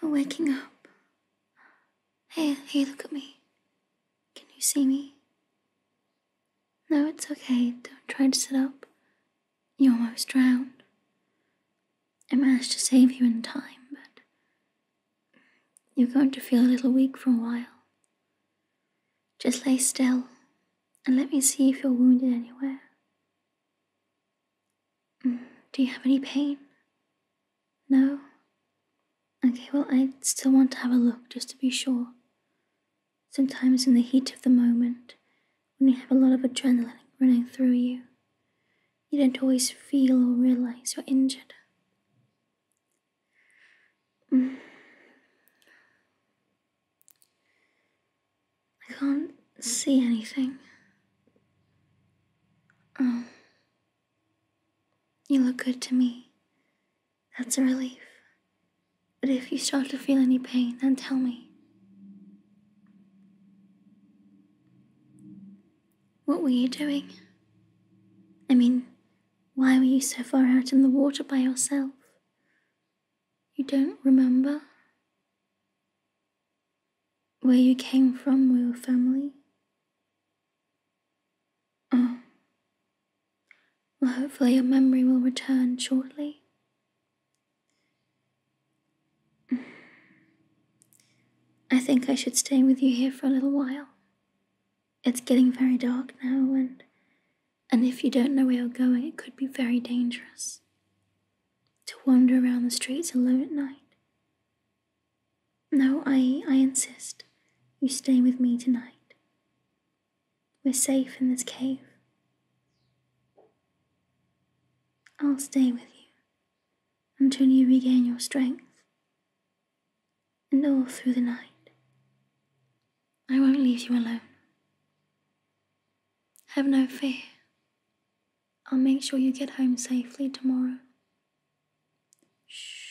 You're waking up. Hey, hey, look at me. Can you see me? No, it's okay. Don't try to sit up. You almost drowned. I managed to save you in time, but you're going to feel a little weak for a while. Just lay still and let me see if you're wounded anywhere. Do you have any pain? No? Okay, well, I still want to have a look just to be sure. Sometimes, in the heat of the moment, when you have a lot of adrenaline running through you, you don't always feel or realize you're injured. I can't see anything. Um, you look good to me. That's a relief. But if you start to feel any pain, then tell me. What were you doing? I mean, why were you so far out in the water by yourself? You don't remember? where you came from or your family? Oh. Well, hopefully your memory will return shortly. I think I should stay with you here for a little while. It's getting very dark now, and and if you don't know where you're going, it could be very dangerous to wander around the streets alone at night. No, I, I insist. You stay with me tonight. We're safe in this cave. I'll stay with you until you regain your strength. And all through the night. I won't leave you alone. Have no fear. I'll make sure you get home safely tomorrow. Shh.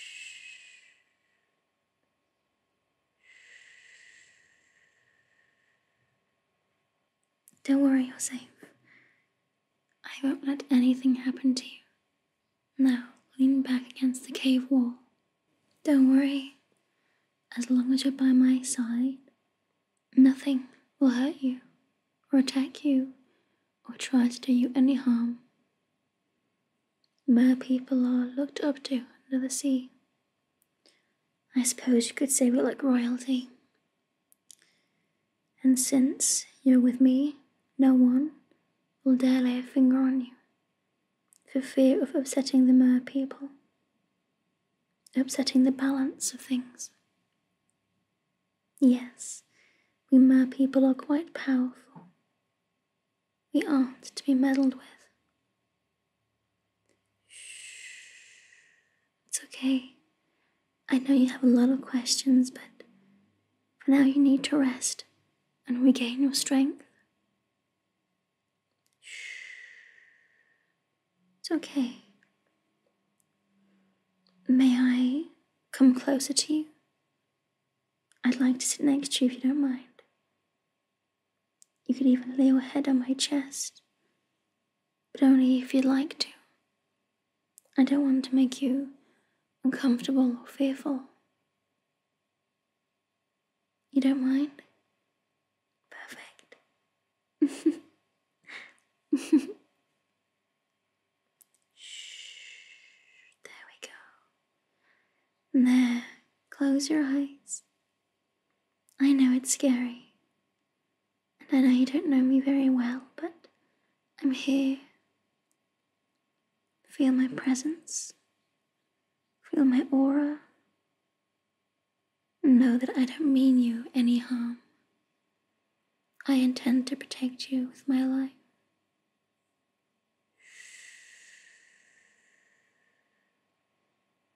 Don't worry, you're safe. I won't let anything happen to you. Now, lean back against the cave wall. Don't worry. As long as you're by my side, nothing will hurt you, or attack you, or try to do you any harm. Mer people are looked up to under the sea. I suppose you could say we're like royalty. And since you're with me, no one will dare lay a finger on you for fear of upsetting the mer people, upsetting the balance of things. Yes, we mer people are quite powerful. We aren't to be meddled with. Shh. It's okay. I know you have a lot of questions, but for now you need to rest and regain your strength. Shh. It's okay. May I come closer to you? I'd like to sit next to you if you don't mind. You could even lay your head on my chest, but only if you'd like to. I don't want to make you uncomfortable or fearful. You don't mind? Perfect. Shh. There we go. There. Close your eyes. I know it's scary. And I know you don't know me very well, but I'm here. Feel my presence. Feel my aura. Know that I don't mean you any harm. I intend to protect you with my life.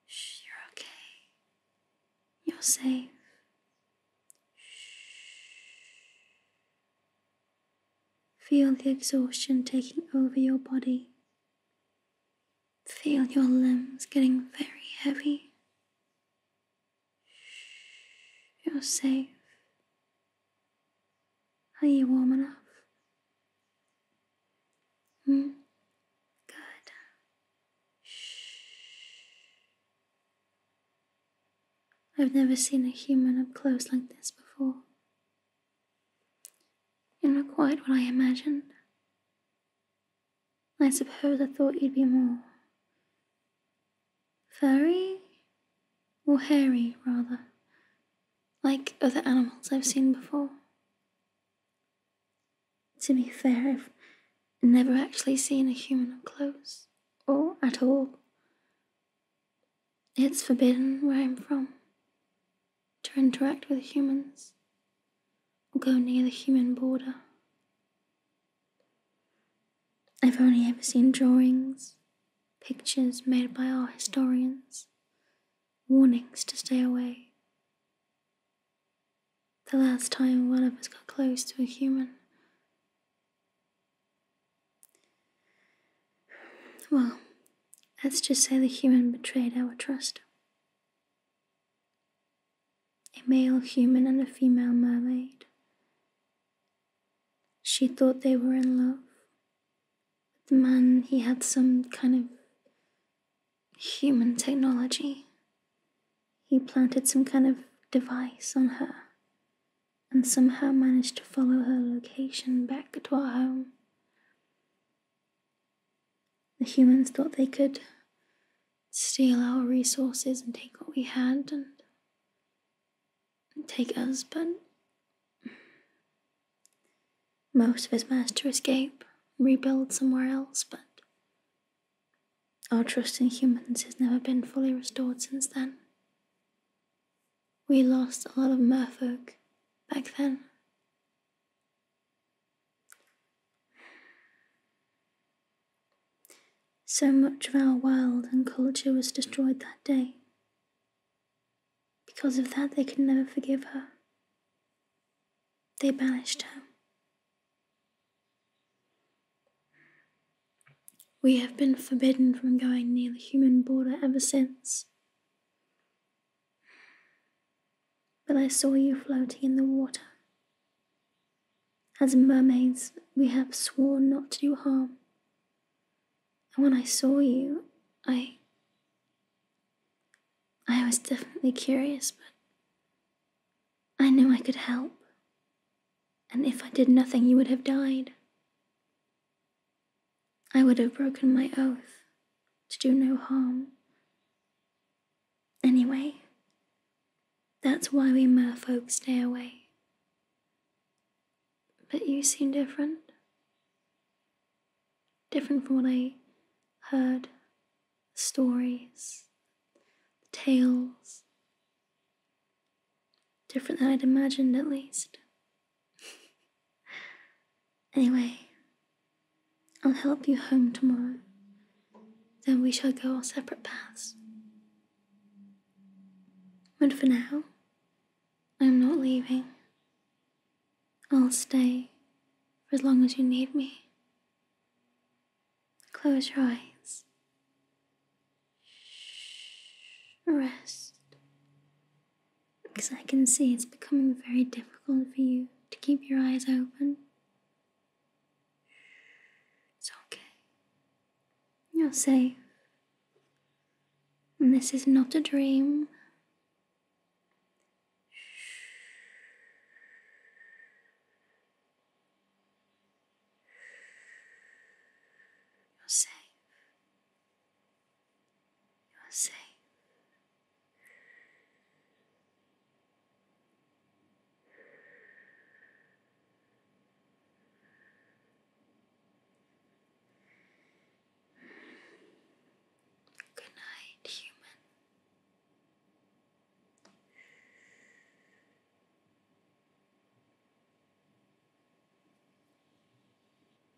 Shh, you're okay. You're safe. Feel the exhaustion taking over your body. Feel your limbs getting very heavy. Shh, you're safe. Are you warm enough? Hmm? Good. Shh. I've never seen a human up close like this before. You're not quite what I imagined. I suppose I thought you'd be more furry or hairy, rather, like other animals I've seen before. To be fair, I've never actually seen a human up close, or at all. It's forbidden where I'm from to interact with humans or go near the human border. I've only ever seen drawings, pictures made by our historians, warnings to stay away. The last time one of us got close to a human. Well, let's just say the human betrayed our trust. A male human and a female mermaid she thought they were in love. But the man, he had some kind of human technology. He planted some kind of device on her and somehow managed to follow her location back to our home. The humans thought they could steal our resources and take what we had, and take us, but most of us managed to escape and rebuild somewhere else, but our trust in humans has never been fully restored since then. We lost a lot of merfolk back then. So much of our world and culture was destroyed that day. Because of that, they could never forgive her. They banished her. We have been forbidden from going near the human border ever since. But I saw you floating in the water. As mermaids, we have sworn not to do harm when I saw you, I. I was definitely curious, but I knew I could help. And if I did nothing, you would have died. I would have broken my oath to do no harm. Anyway, that's why we merfolk stay away. But you seem different. Different from what I heard stories, tales. Different than I'd imagined, at least. anyway, I'll help you home tomorrow. Then we shall go our separate paths. But for now, I'm not leaving. I'll stay for as long as you need me. Close your eyes. Rest. Because I can see it's becoming very difficult for you to keep your eyes open. It's okay. You're safe. And this is not a dream. You're safe. You're safe. Good night, human.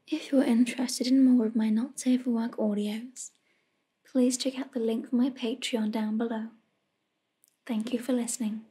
If you're interested in more of my Not Safe for Work audios, please check out the link for my Patreon down below. Thank you for listening.